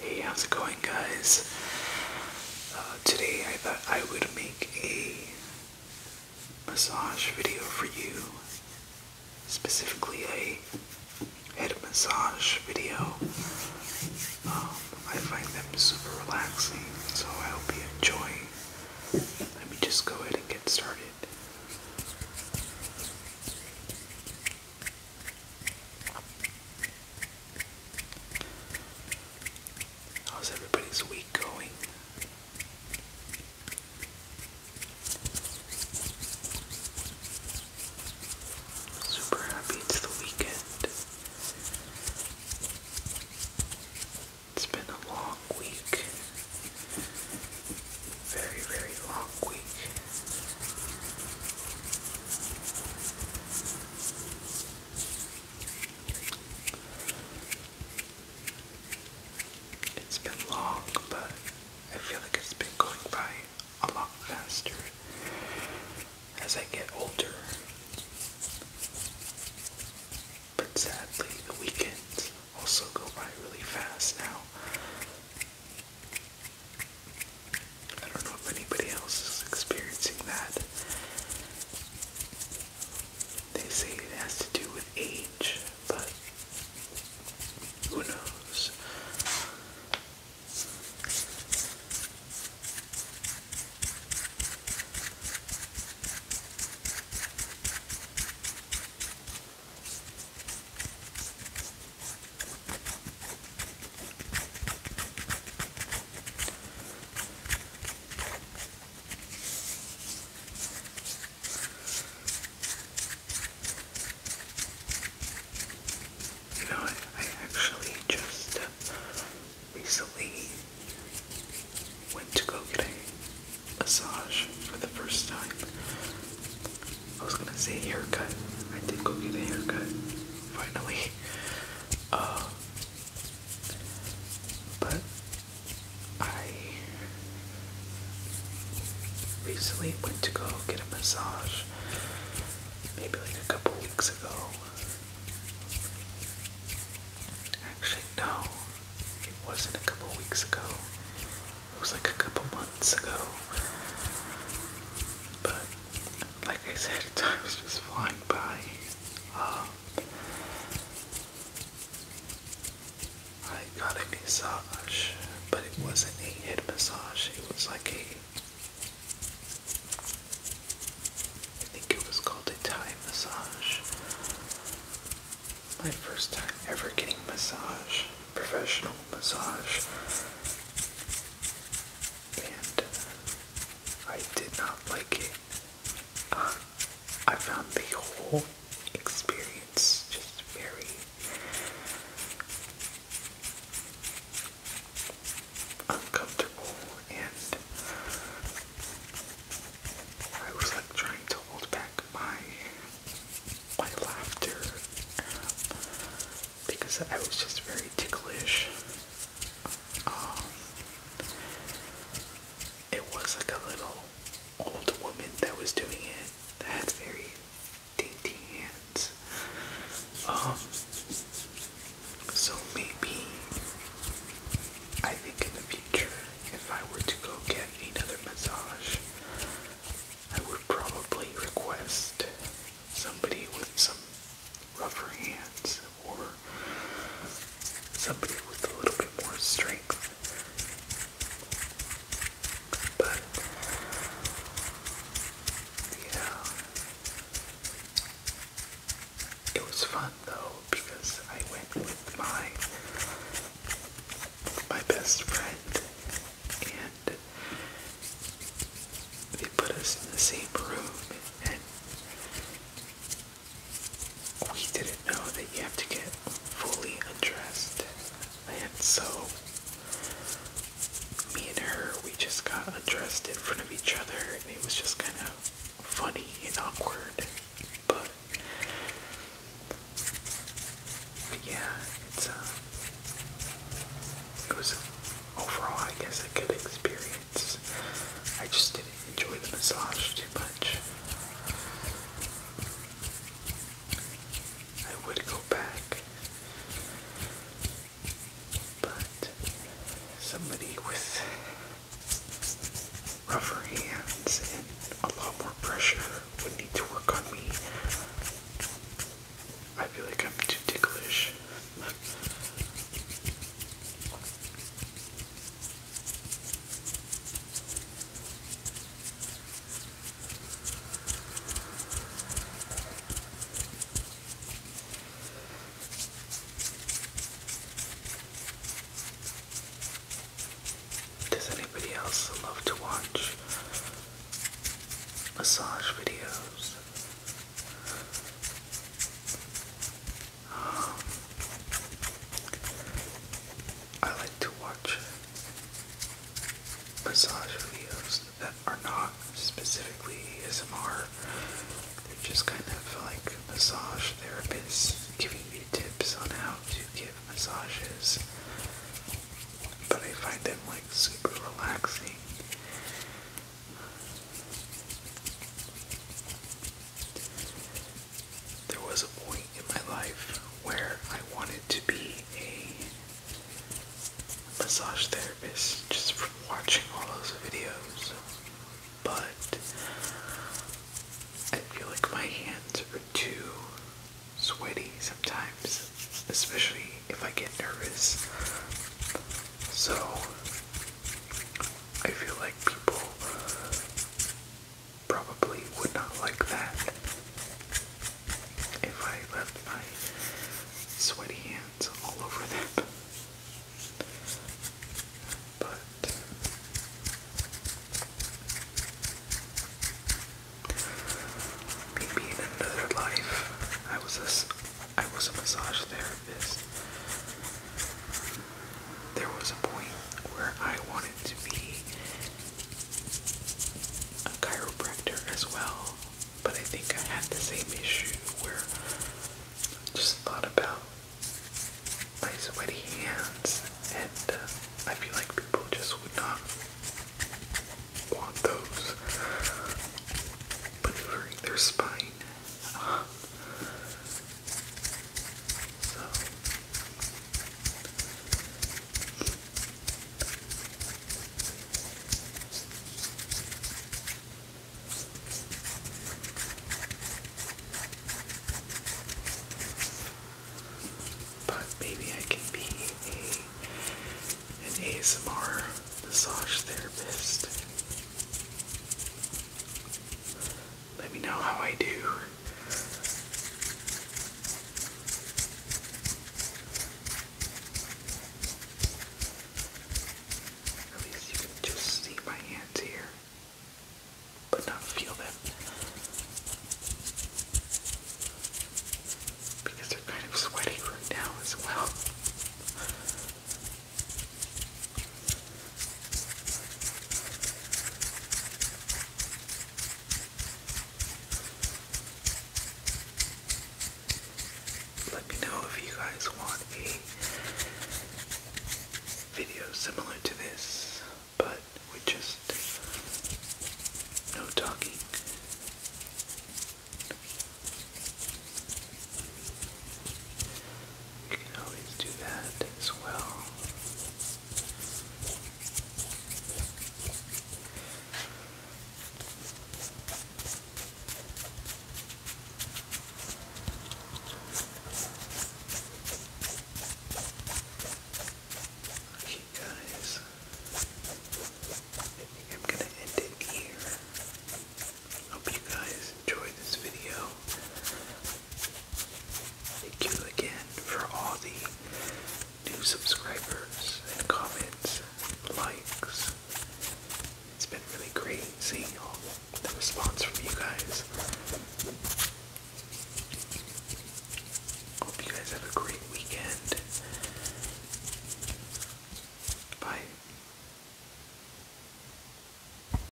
Hey, how's it going, guys? Uh, today I thought I would make a massage video for you, specifically a head massage video. Um, I find them super relaxing, so I hope you enjoy. Let me just go ahead and get started. How's everybody's week going? Super happy it's the weekend. It's been a long week very, very long week. It's been long, but I feel like it's been going by a lot faster as I get older. But sadly, the weekends also go by really fast now. I don't know if anybody else is experiencing that. They say it has to do with age, but who knows? You know, I, I actually just uh, recently went to go get a massage for the first time. I was gonna say haircut. I did go get a haircut finally. Uh, but I recently went to go get a massage maybe like a couple weeks ago. Actually, no, it wasn't a couple weeks ago. It was like a couple months ago. But like I said, time was just flying by. Um, I got a massage, but it wasn't a head massage. It was like a, I think it was called a Thai massage my first time ever getting massage, professional massage. And uh, I did not like it. Uh, I found the whole experience just very uncomfortable and I was like trying to hold back my my laughter because I was just very ticklish. Um, it was like a little old woman that was doing it that had very dainty hands. Um, so maybe I think in the future, if I were to go get another massage, I would probably request somebody with some rougher hands or somebody with a little bit more strength. But yeah, it was fun though because I went with my my best friend and they put us in the same room and we didn't know that you have to get fully undressed and so me and her we just got undressed in front of each other and it was just kind of funny and awkward, but, yeah, uh, it was overall, I guess, a good experience. I just didn't enjoy the massage too much. I would go back. But somebody with rougher hands and a lot more pressure would need to work on me. I feel like I'm too ticklish. Does anybody else love to watch massage videos? Um, I like to watch massage videos that are not specifically ASMR. They're just kind of like massage therapists giving me tips on how to give massages. But I find them like super relaxing. There was a point in my life where I wanted to be a massage therapist just from watching all those videos, but I feel like my hands are too sweaty sometimes, especially if I get nervous. So I feel like people probably would not like that if I left my sweaty hands all over them. But maybe in another life, I was a, I was a massage therapist. There was a point where I wanted to be a chiropractor as well, but I think I had the same issue where I just thought about my sweaty hands, and uh, I feel like people just would not want those maneuvering their spine. so, but maybe I can be an ASMR massage therapist. Let me know how I do. At least you can just see my hands here, but not feel them. Because they're kind of sweaty right now as well. Let me know if you guys want a video similar to this, but with just no talking. You can always do that as well. Okay, guys, I am gonna end it here. Hope you guys guys this video. Thank you again for all the new subscribers and comments, likes. It's been really great seeing all the response from you guys. Hope you guys have a great weekend. Bye.